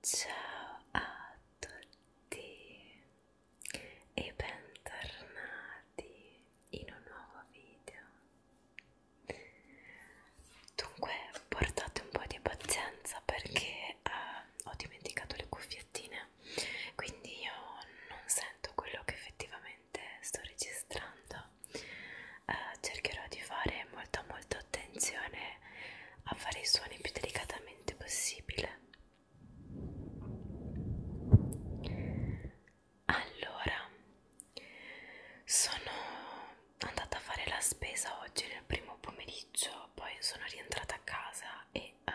Ciao a tutti e bentornati in un nuovo video. Dunque, portate un po' di pazienza perché uh, ho dimenticato le cuffiettine, quindi io non sento quello che effettivamente sto registrando. Uh, cercherò di fare molta molta attenzione a fare i suoni più delicatamente possibile allora sono andata a fare la spesa oggi nel primo pomeriggio poi sono rientrata a casa e uh,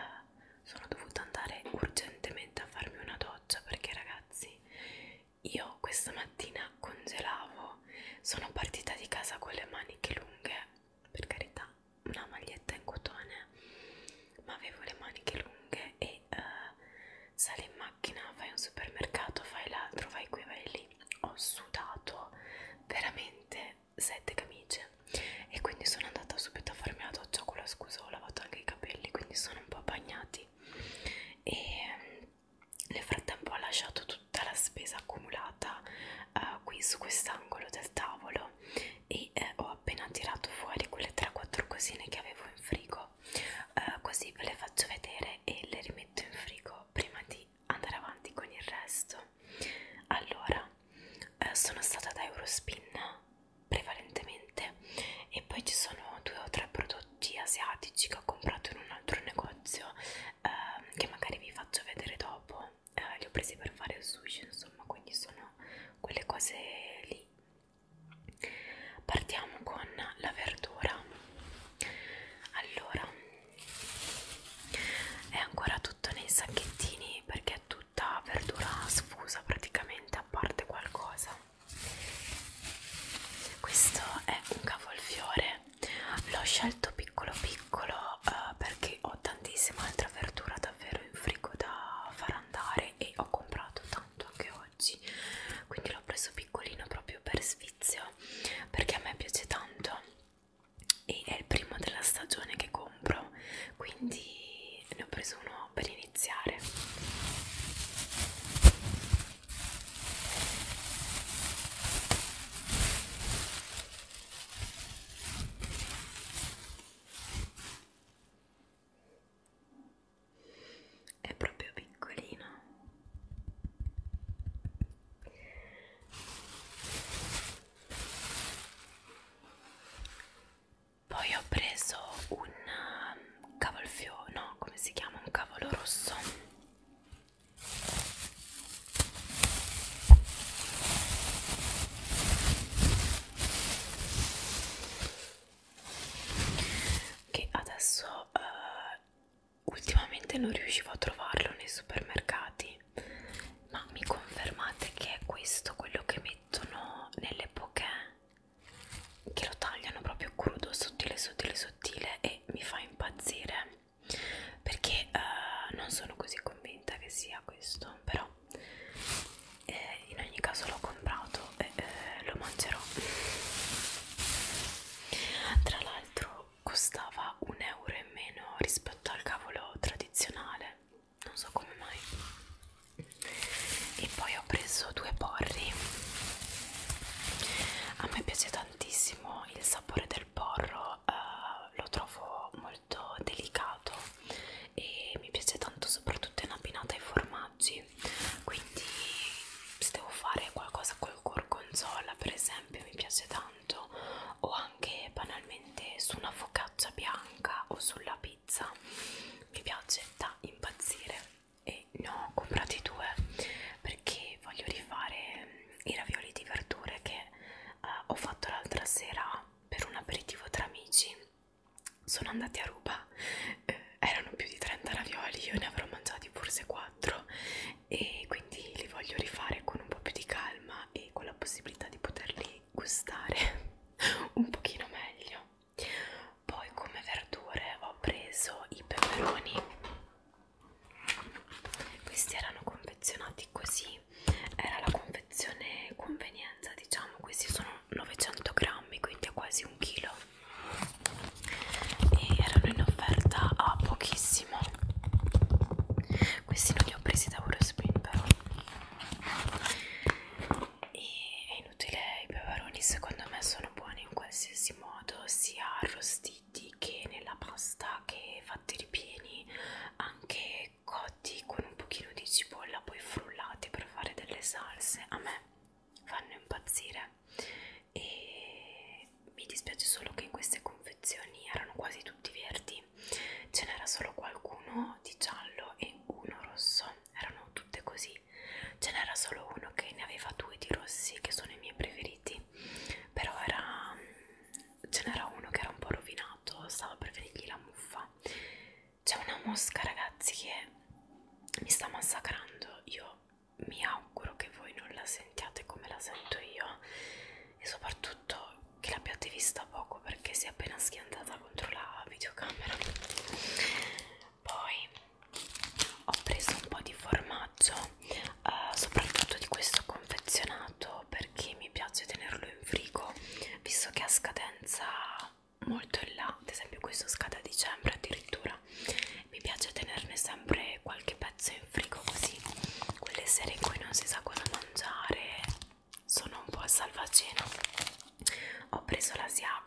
sono dovuta andare urgentemente a farmi una doccia perché ragazzi io questa mattina congelavo sono partita di casa con le maniche lunghe per carità una maglietta in cotone ma avevo le maniche lunghe e uh, sali in macchina fai un supermercato fai l'altro vai qui vai lì ho sudato veramente sette camicie e quindi sono andata subito a farmi la doccia con la scusa ho lavato anche i capelli quindi sono un po' bagnati e nel frattempo ho lasciato tutta la spesa accumulata uh, qui su quest'angolo del tavolo e eh, ho appena tirato fuori quelle 3-4 cosine che avevo in frigo uh, così ve le faccio vedere e le rimetto in frigo prima di andare avanti con il resto allora uh, sono stata da Eurospin prevalentemente e poi ci sono due o tre prodotti asiatici che ho comprato in un altro negozio uh, eh, che magari vi faccio vedere dopo eh, li ho presi per fare il sushi insomma quindi sono quelle cose lì partiamo con la verdura allora è ancora tutto nei sacchettini perché è tutta verdura sfusa praticamente a parte qualcosa questo è un cavolfiore l'ho scelto piccolo piccolo eh, perché ho tantissima altra verdura davvero in frigo da far andare e ho comprato tanto anche oggi quindi l'ho preso piccolino proprio per sfizio perché a me piace tanto e è il primo della stagione che compro quindi ne ho preso uno per iniziare è proprio piccolino poi ho preso un um, cavolfiore no come si chiama un cavolo rosso che adesso uh, ultimamente non riuscivo a trovarlo nei supermercati ma mi confermate che è questo quello che mettono nelle poche che lo tagliano proprio crudo sottile sottile sottile e mi fa impazzire perché uh, non sono così convinta che sia questo però eh, in ogni caso l'ho comprato e eh, lo mangerò tra l'altro costava un euro in meno rispetto al cavolo tradizionale non so come mai e poi ho preso due porri a me piace tantissimo il sapore sapore del porro eh, lo trovo molto delicato e mi piace tanto soprattutto in abbinata ai formaggi quindi se devo fare qualcosa col gorgonzola per esempio mi piace tanto o anche banalmente su una focaccia bianca o sulla pizza mi piace da impazzire e ne ho comprati due perché voglio rifare i ravioli di verdure che eh, ho fatto l'altra sera per un aperitivo tra amici sono andati a ruba eh, erano più di 30 ravioli io ne avrò mangiati forse 4 e quindi li voglio rifare con un po' più di calma e con la possibilità di poterli gustare un pochino meglio poi come verdure ho preso i peperoni questi erano confezionati così era la confezione convenienza diciamo questi sono 900 grammi quindi è quasi un chilo e erano in offerta a pochissimo questi non li ho presi da Eurospin però e è inutile i peperoni secondo me sono buoni in qualsiasi modo sia arrostiti fritti che nella pasta che fate ripieni anche cotti con un pochino di cipolla poi frullati per fare delle salse a me fanno impazzire e mi dispiace solo che in queste confezioni erano quasi tutti verdi ce n'era solo qualcuno di giallo e uno rosso erano tutte così ce n'era solo uno che ne aveva due di rossi che sono i miei preferiti però era ce n'era uno che era un po' rovinato, stava per venirgli la muffa. C'è una mosca, ragazzi, che mi sta massacrando. Io mi auguro che voi non la sentiate come la sento io e soprattutto che l'abbiate vista poco perché si è appena schiantata contro la videocamera. Poi ho preso un po' di formaggio, eh, soprattutto di questo con confezionato perché mi piace tenerlo in frigo visto che ha scadenza molto in là ad esempio questo scade a dicembre addirittura mi piace tenerne sempre qualche pezzo in frigo così quelle sere in cui non si sa cosa mangiare sono un po' a salvacena ho preso l'asiago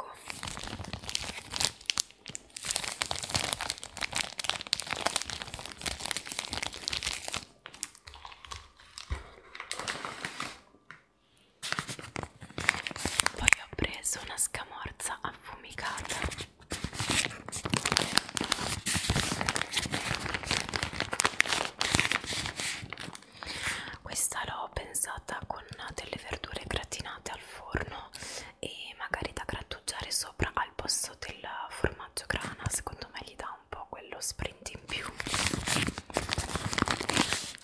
poi ho preso una scamorza affumicata Questa l'ho pensata con delle verdure gratinate al forno e magari da grattugiare sopra al posto del formaggio grana secondo me gli dà dà un po' quello sprint in più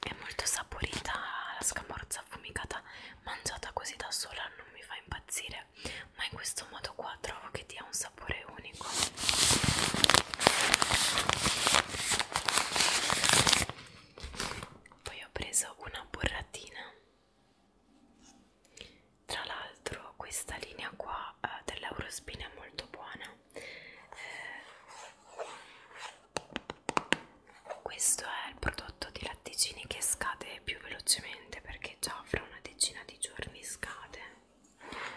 è molto saporita la scamorza affumicata mangiata così da sola non mi fa impazzire ma in questo modo qua trovo che dia un sapore unico poi ho preso una burratina tra l'altro questa linea qua eh, dell'Eurospin è molto buona eh, questo è il prodotto di latticini che scade più velocemente perché già fra una decina di giorni scade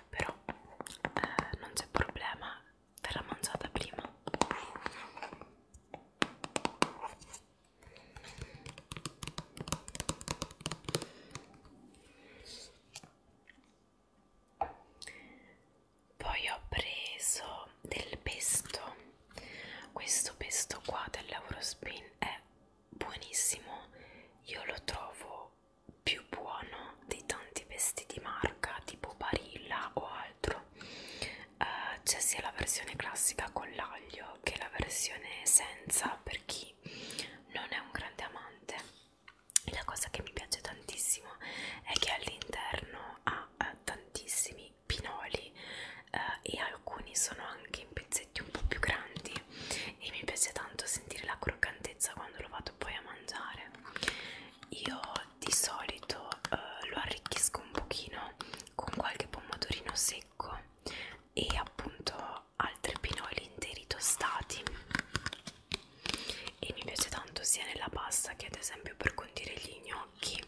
però eh, non c'è problema verrà mangiata prima poi ho preso del pesto questo pesto qua del Laurospin è buonissimo io lo trovo più buono di tanti pesti di marca tipo Barilla o altro uh, c'è sia la versione classica con l'aglio che la versione senza per chi non è un grande amante la cosa che mi piace tantissimo è che all'interno ha eh, tantissimi pinoli eh, e alcuni sono anche in pezzetti un po' più grandi e mi piace tanto sentire la croccantezza quando lo vado poi a mangiare io di solito eh, lo arricchisco un pochino con qualche pomodorino secco e appunto altri pinoli interi tostati e mi piace tanto sia nella pasta che ad esempio per condire gli gnocchi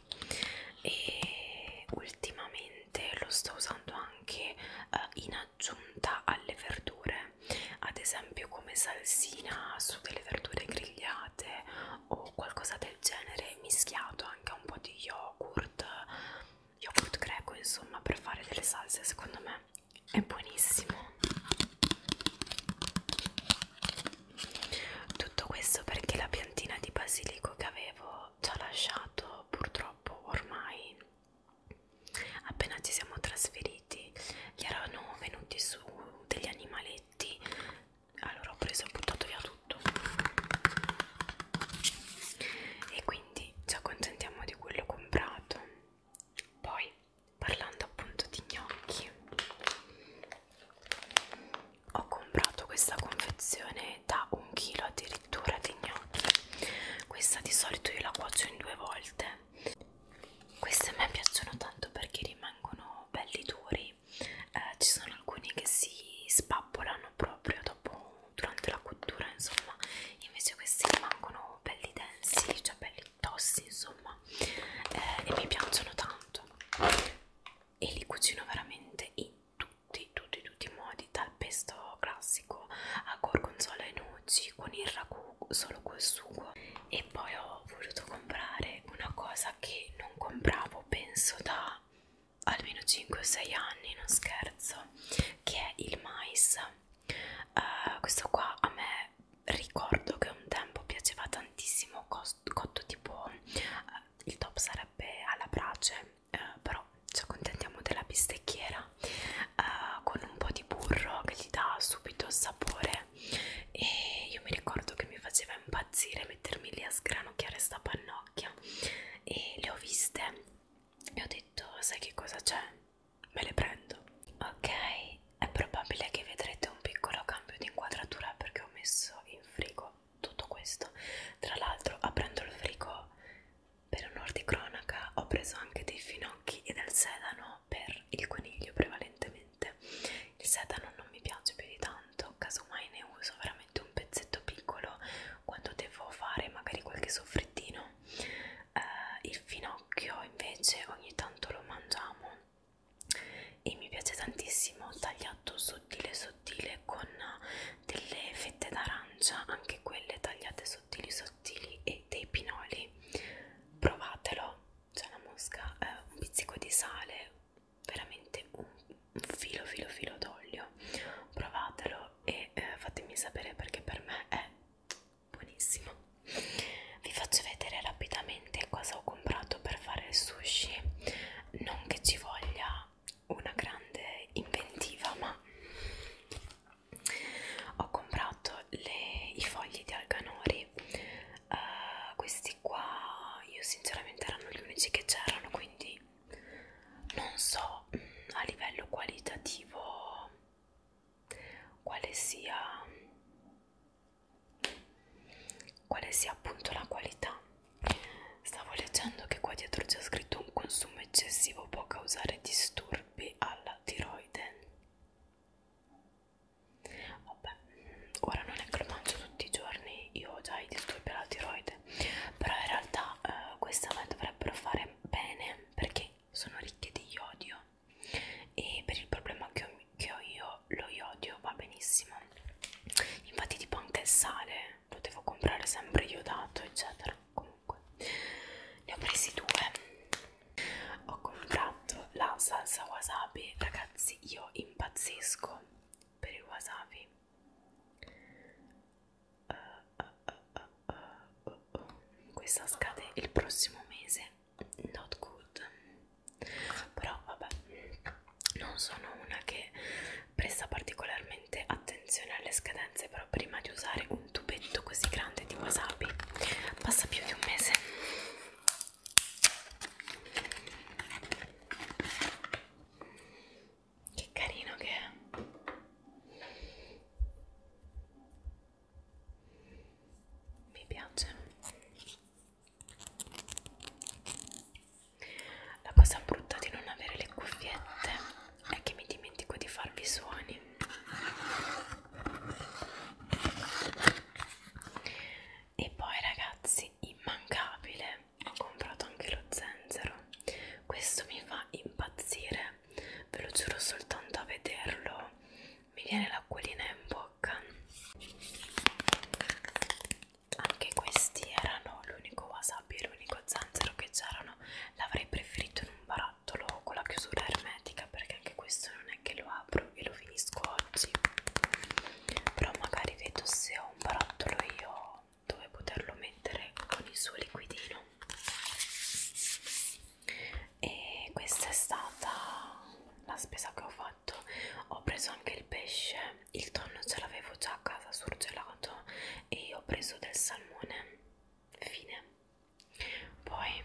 e ultimamente lo sto usando anche eh, in aggiunta alle verdure ad esempio come salsina su delle verdure grigliate o qualcosa del genere mischiato anche a un po' di yogurt yogurt greco insomma per fare delle salse secondo me è buonissimo tutto questo perché la piantina di basilico che avevo ci ha lasciato purtroppo ormai appena ci siamo trasferiti gli erano venuti su degli animaletti allora ho preso e buttato via tutto e quindi ci accontentiamo di quello comprato poi, parlando appunto di gnocchi, ho comprato questa confezione da un chilo addirittura di gnocchi. Questa di solito io la cuocio in due volte. Queste a me piacciono tanto perché rimangono belli duri. Eh, ci sono alcuni che si spappolano proprio dopo durante la cottura, insomma, invece questi rimangono sono belli densi, cioè belli tossi insomma eh, e mi piacciono tanto e li cucino veramente in tutti, tutti, tutti i modi dal pesto classico a gorgonzola e noci con il ragù solo col sugo e poi ho voluto comprare una cosa che non compravo penso da almeno 5 o 6 anni non scherzo che è il mais Uh, questo qua a me ricordo che un tempo piaceva tantissimo cotto tipo uh, il top sarebbe alla brace uh, però ci accontentiamo della bistecchiera uh, con un po' di burro che gli dà subito sapore e io mi ricordo che mi faceva impazzire mettermi lì a sgranocchiare sta pannocchia e le ho viste e ho detto sai che cosa c'è me le prendo ok è probabile che vedrete un piccolo cambio di inquadratura perché ho messo in frigo tutto questo tra l'altro aprendo il frigo per onor di cronaca ho preso anche dei finocchi e del sedano per il coniglio prevalentemente il sedano non mi piace più di tanto casomai ne uso veramente un pezzetto piccolo quando devo fare magari qualche soffrittino buono eh, il finocchio invece ogni tanto lo mangiamo e mi piace tantissimo tagliato sottile sottile con delle fette d'arancia anche quelle tagliate sottili sottili e dei pinoli provatelo c'è la mosca eh, un pizzico di sale veramente un, un filo filo filo d'olio provatelo e eh, fatemi sapere perché per me è buonissimo vi faccio vedere rapidamente cosa ho comprato per fare il sushi non che ci voglia una grande inventiva ma ho comprato le, i fogli di alganori uh, questi qua io sinceramente erano gli unici che c'erano quindi non so mm, a livello qualitativo quale sia quale sia appunto la qualità stavo leggendo che qua dietro c'è scritto un consumo eccessivo può causare disturbi alla tiroide vabbè ora non è che lo mangio tutti i giorni io ho già i disturbi alla tiroide però in realtà eh, questa me dovrebbero fare bene perché sono ricche di iodio e per il problema che ho, che ho io lo iodio va benissimo infatti tipo anche il sale lo devo comprare sempre iodato eccetera comunque ne ho presi due ho comprato la salsa wasabi ragazzi io impazzisco per il wasabi uh, uh, uh, uh, uh, uh. questa scade il prossimo mese not good però vabbè non sono una che presta particolarmente attenzione alle scadenze però prima di usare un tubetto così grande di wasabi passa più di un mese che carino che è mi piace la cosa brutta di non avere le cuffiette è che mi dimentico di farvi suoni e poi ragazzi immancabile ho comprato anche lo zenzero questo mi fa impazzire ve lo giuro soltanto a vederlo mi viene l'acquolina in bocca anche questi erano l'unico wasabi e l'unico zanzero che c'erano l'avrei preferito in un barattolo con la chiusura ermetica perché anche questo non è che lo apro e lo finisco oggi però magari vedo se ho un barattolo io dove poterlo mettere con il suo liquidino e questa è stata la spesa che ho fatto ho preso anche il pesce il tonno ce l'avevo già a casa surgelato e ho preso del salmone fine poi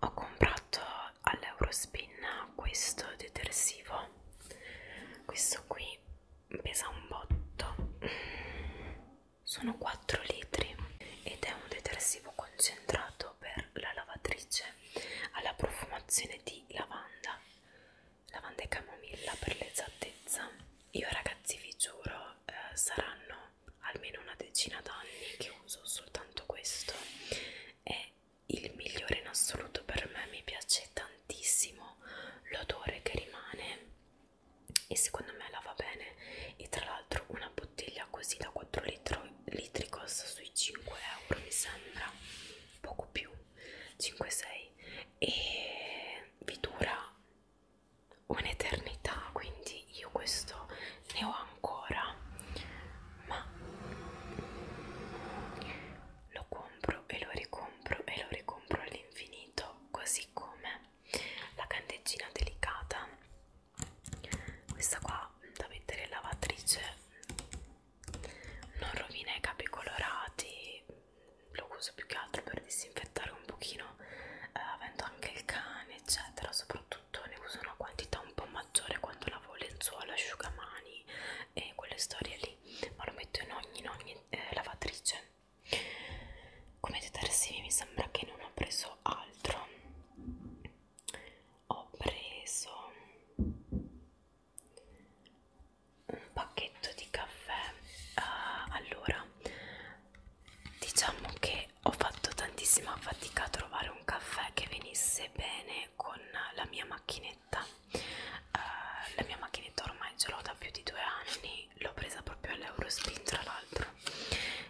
ho comprato all'Eurospin questo detersivo questo qui pesa un botto sono 4 litri ed è un detersivo concentrato per la lavatrice alla profumazione di lavanda lavanda e camomilla per l'esattezza io ragazzi vi giuro eh, saranno almeno una decina d'anni che uso soltanto questo è il migliore in assoluto per me mi piace tantissimo l'odore che rimane e secondo me la va bene e tra l'altro una bottiglia così da 4 litro, litri costa sui 5 euro mi sembra poco più 5-6 e vi dura un'eternità quindi io questo ne ho ancora ma lo compro e lo ricompro e lo ricompro all'infinito così come la candeggina delicata questa qua da mettere in lavatrice non rovina i capi colorati lo uso più che altro per disinfettare un pochino eh, avendo anche il cane eccetera soprattutto ne uso una quantità un po' maggiore quando lavo lenzuola, asciugamani e quelle storie lì ma lo metto in ogni, in ogni eh, lavatrice come detersivi mi sembra che non ho preso altro ho preso un pacchetto di caffè uh, allora diciamo che ho fatto tantissima fatica a trovare un caffè che venisse bene con la mia macchinetta uh, la mia macchinetta ormai ce l'ho da più di due anni poi l'ho presa proprio all'Eurospin tra l'altro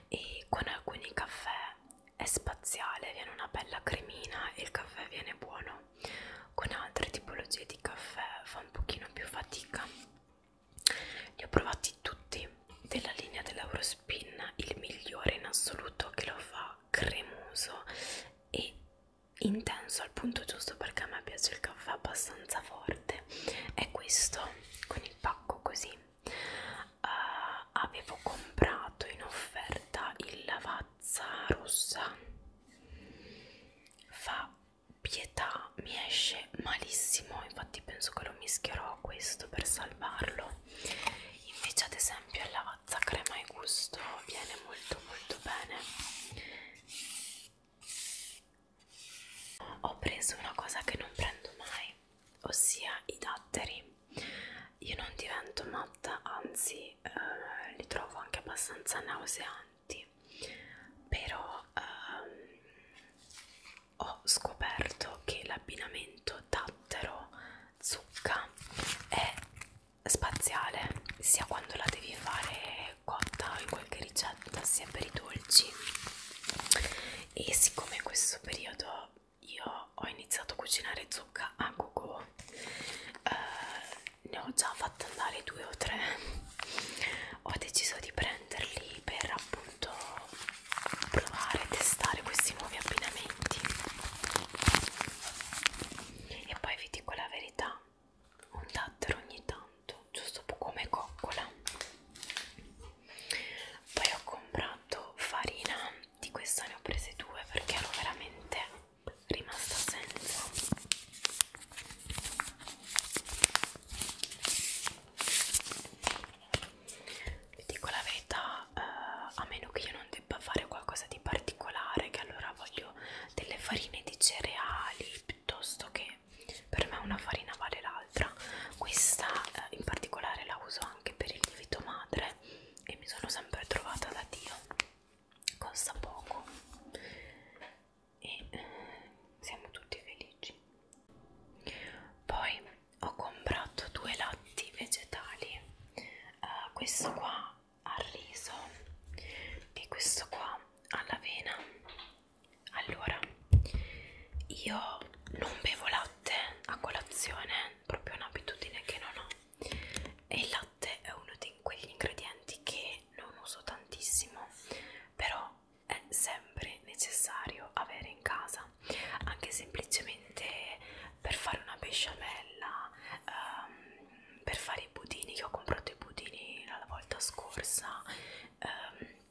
e con alcuni caffè è spaziale, viene una bella cremina e il caffè viene buono con altre tipologie di caffè fa un pochino più fatica li ho provati tutti della linea dell'Eurospin il migliore in assoluto che lo fa cremoso e intenso al punto giusto perché a me piace il caffè abbastanza forte me è questo con il pacco così uh, avevo comprato in offerta il lavazza rossa fa pietà mi esce malissimo infatti penso che lo mischierò a questo per salvarlo invece ad esempio il lavazza crema e gusto viene molto molto bene ho preso una cosa che non prendo mai ossia i datteri io non divento matta anzi eh, li trovo anche abbastanza nauseanti però ehm, ho scoperto che l'abbinamento dattero zucca è spaziale sia quando la devi fare cotta in qualche ricetta sia per i dolci e siccome in questo periodo io ho iniziato a cucinare zucca a gogo eh, ne ho già fatta andare due o tre ho deciso di prenderli per appunto provare e testare questi nuovi abbinamenti e poi vi dico la verità un dattero ogni tanto tanto giusto come coccola poi ho comprato farina di questa ne ho prese due perché ero veramente rimasta senza vi dico la verità eh, a meno che io non debba fare qualcosa di particolare che allora voglio delle farine di cereali piuttosto che per me una farina vale l'altra questa eh, in particolare la uso anche per il lievito madre e mi sono sempre trovata da Dio costa poco e eh, siamo tutti felici poi ho comprato due latti vegetali uh, questo qua al riso e questo qua all'avena allora io non bevo latte a colazione proprio un'abitudine che non ho e il latte è uno di quegli ingredienti che non uso tantissimo però è sempre necessario avere in casa anche semplicemente per fare una besciamella um, per fare i budini io ho comprato i budini la volta scorsa um,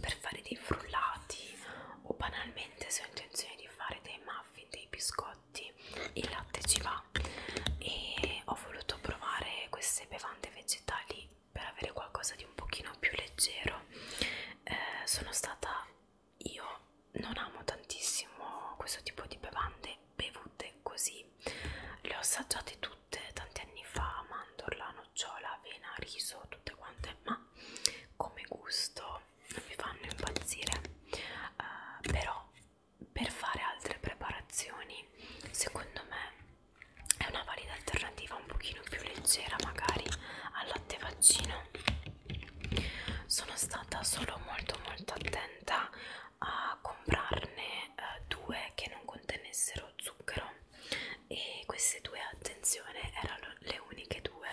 per fare dei frullati o banalmente se ho intenzione di fare dei muffin, dei biscotti il latte ci va e ho voluto provare queste bevande vegetali per avere qualcosa di un pochino più leggero eh, sono stata io non amo tantissimo questo tipo di bevande bevute così le ho assaggiate tutte tutte tanti anni fa mandorla, nocciola, avena, riso, tutte quante ma come gusto non mi fanno impazzire uh, però per fare altre preparazioni secondo me è una valida alternativa un pochino più leggera magari al latte vaccino sono stata solo molto molto attenta a comprarne eh, due che non contenessero zucchero e queste due attenzione erano le uniche due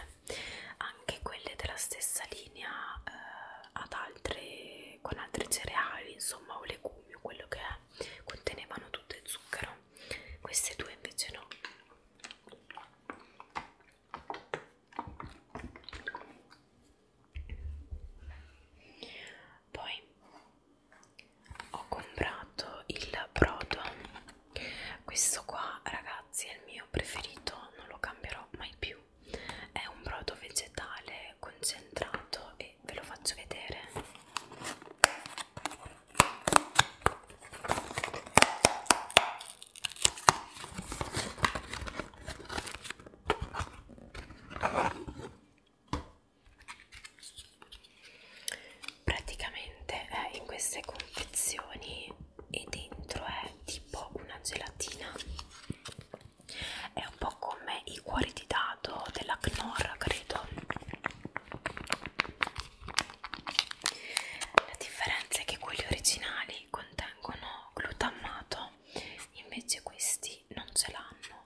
anche quelle della stessa linea eh, ad altre, con altri cereali insomma o legumi o quello che è contenevano tutto il zucchero queste due invece no poi ho comprato il brodo questo qua ragazzi è il mio preferito non lo cambierò mai più è un brodo vegetale concentrato e ve lo faccio vedere praticamente è eh, in queste confezioni e dentro è tipo una gelatina è un po' come i cuori di dado della Knorr credo la differenza è che quelli originali contengono glutammato invece questi non ce l'hanno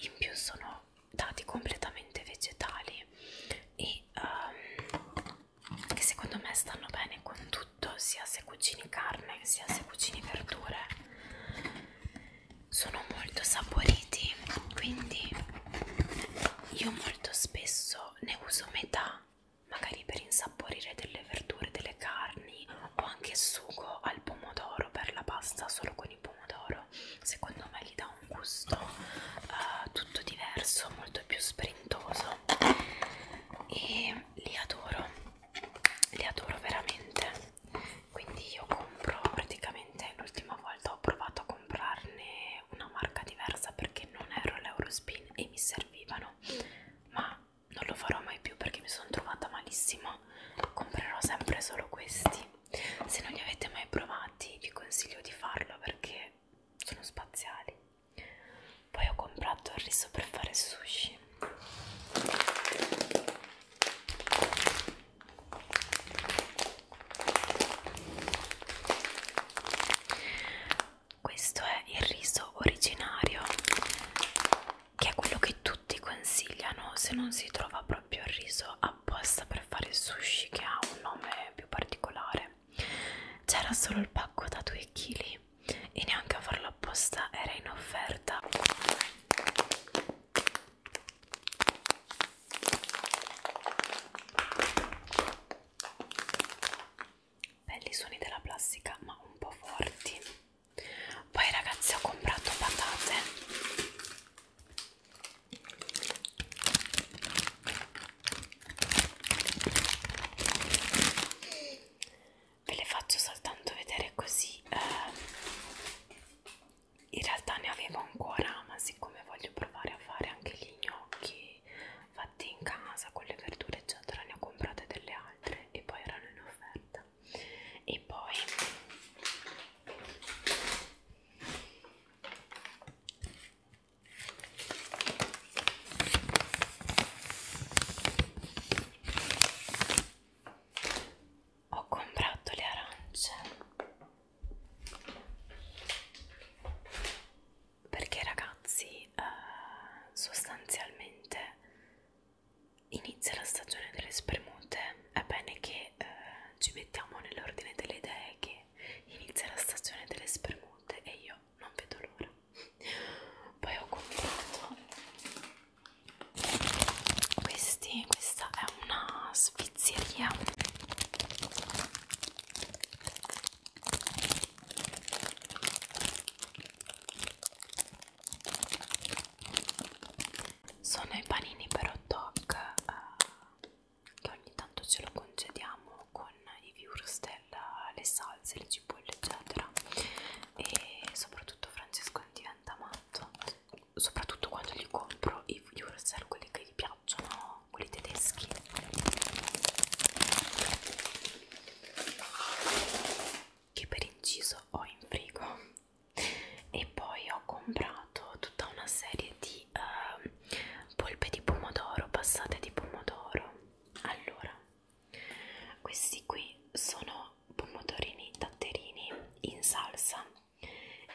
in più sono sono dati completamente vegetali e um, che secondo me stanno bene con tutto sia se cucini carne sia se cucini verdure sono molto saporiti quindi io molto spesso ne uso metà magari per insaporire delle verdure delle carni o anche sugo al pomodoro per la pasta solo con il pomodoro farlo secondo me gli dà un gusto uh, tutto diverso molto più sprintoso e li adoro li adoro veramente quindi io compro praticamente l'ultima volta ho provato a comprarne una marca diversa perché non ero all'Eurospin e mi servivano ma non lo farò mai più perché mi sono trovata malissimo comprerò sempre solo questi se non li avete mai provati vi consiglio di farlo perché sono spaziali poi ho comprato il riso per fare sushi questo è il riso originario che è quello che tutti consigliano se non si trova proprio proprio il riso apposta per fare il sushi che ha un nome più particolare c'era solo il pacco da 2 kg e neanche a farlo apposta era in offerta belli suoni della plastica ma un po' forti poi ragazzi ho comprato patate Ve le faccio soltanto vedere così. Eh, in realtà ne avevo ancora, ma siccome voglio provare a fare anche gli gnocchi fatti in casa con le verdure, eccetera, ne ho comprate delle altre e poi erano in offerta. E poi ho comprato le arance perché ragazzi eh, sostanzialmente inizia la stagione delle spremute, è bene che eh, ci mettiamo nell'ordine delle idee che che inizia la stagione delle spermute e io non vedo l'ora poi ho comprato questi questa è una spizzeria sono i panini per hot dog uh, che ogni tanto ce lo concediamo con i viewers della, le salse, le cipolle eccetera e soprattutto Francesco diventa matto soprattutto quando gli compro i viewers eh, quelli che gli piacciono quelli tedeschi che per inciso ho in frigo e poi ho comprato tutta una serie di di eh, polpe di pomodoro, passate di pomodoro. Allora, questi qui sono pomodorini tatterini in salsa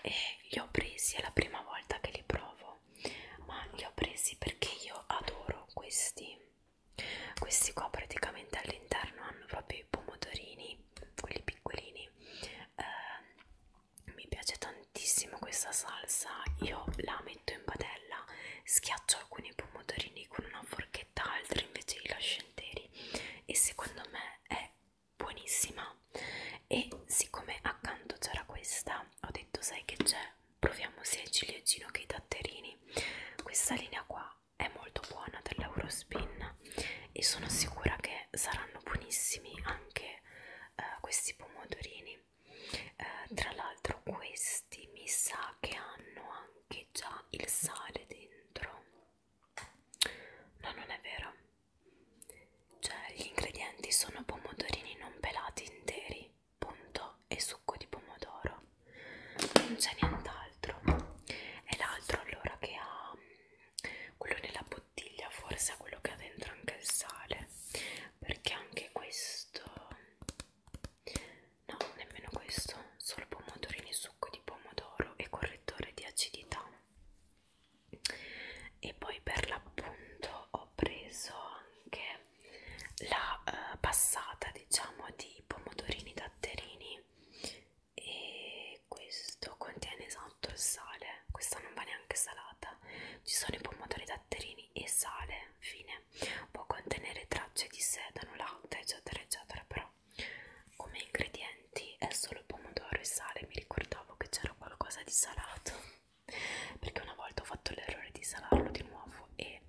e li ho presi, è la prima volta che li provo, ma li ho presi perché io adoro questi. Questi qua praticamente all'interno hanno proprio i pomodorini, quelli piccolini, eh, mi piace tantissimo questa salsa io la metto in padella schiaccio alcuni pomodorini con una forchetta altri invece li lascio interi e secondo me è buonissima e siccome accanto c'era questa ho detto sai che c'è proviamo sia il ciliegino che i datterini questa linea qua è molto buona dell'Eurospin e sono sicura che saranno buonissimi anche eh, questi pomodorini eh, tra l'altro questi mi sa che hanno anche già il sale dentro no non è vero cioè gli ingredienti sono pomodorini non pelati interi punto e succo di pomodoro non c'è nient'altro e l'altro allora che ha mm, quello nella bottiglia forse è quello che ha dentro anche il sale perché anche questo no nemmeno questo solo pomodorini succo di pomodoro e correttore di acidità e poi per l'appunto ho preso anche la eh, passata diciamo di pomodorini datterini e questo contiene esatto il sale male, questa non va neanche salata. Ci sono i pomodori datterini e sale, fine. Può contenere tracce di sedano, latte, eccetera, eccetera, però come ingredienti è solo pomodoro e sale. Mi ricordavo che c'era qualcosa di salato perché una volta ho fatto l'errore di salarlo di nuovo e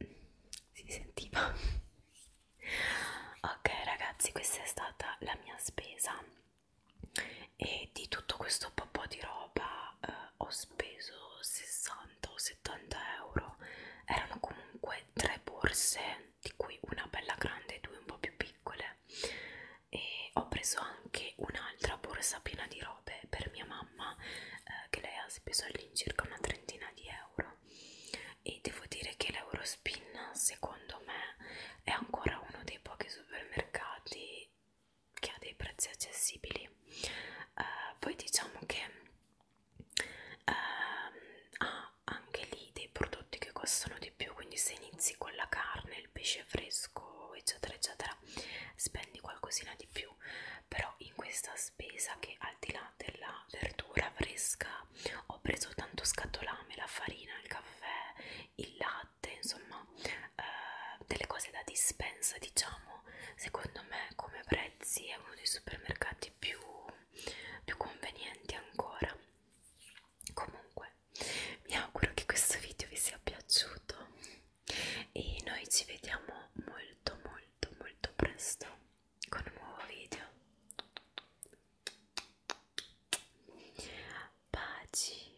si sentiva ok ragazzi questa è stata la mia spesa e di tutto questo po' di roba eh, ho speso 60 o 70 euro erano comunque tre borse di cui una bella grande e due un po' più piccole e ho preso anche un'altra borsa piena di robe per mia mamma eh, che lei ha speso all'incirca una trentina di euro e devo dire che l'Eurospin secondo me è ancora uno dei pochi supermercati che ha dei prezzi accessibili uh, poi diciamo che uh, ha anche lì dei prodotti che costano di più quindi se inizi con la carne il pesce fresco eccetera eccetera spendi qualcosina di più però in questa spesa che al di là della verdura fresca ho preso tanto scatolame la farina il caffè il latte latte, insomma eh, delle cose da dispensa diciamo, secondo me come prezzi è uno dei supermercati più, più convenienti ancora. Comunque mi auguro che questo video vi sia piaciuto e noi ci vediamo molto molto molto presto con un nuovo video. Baci!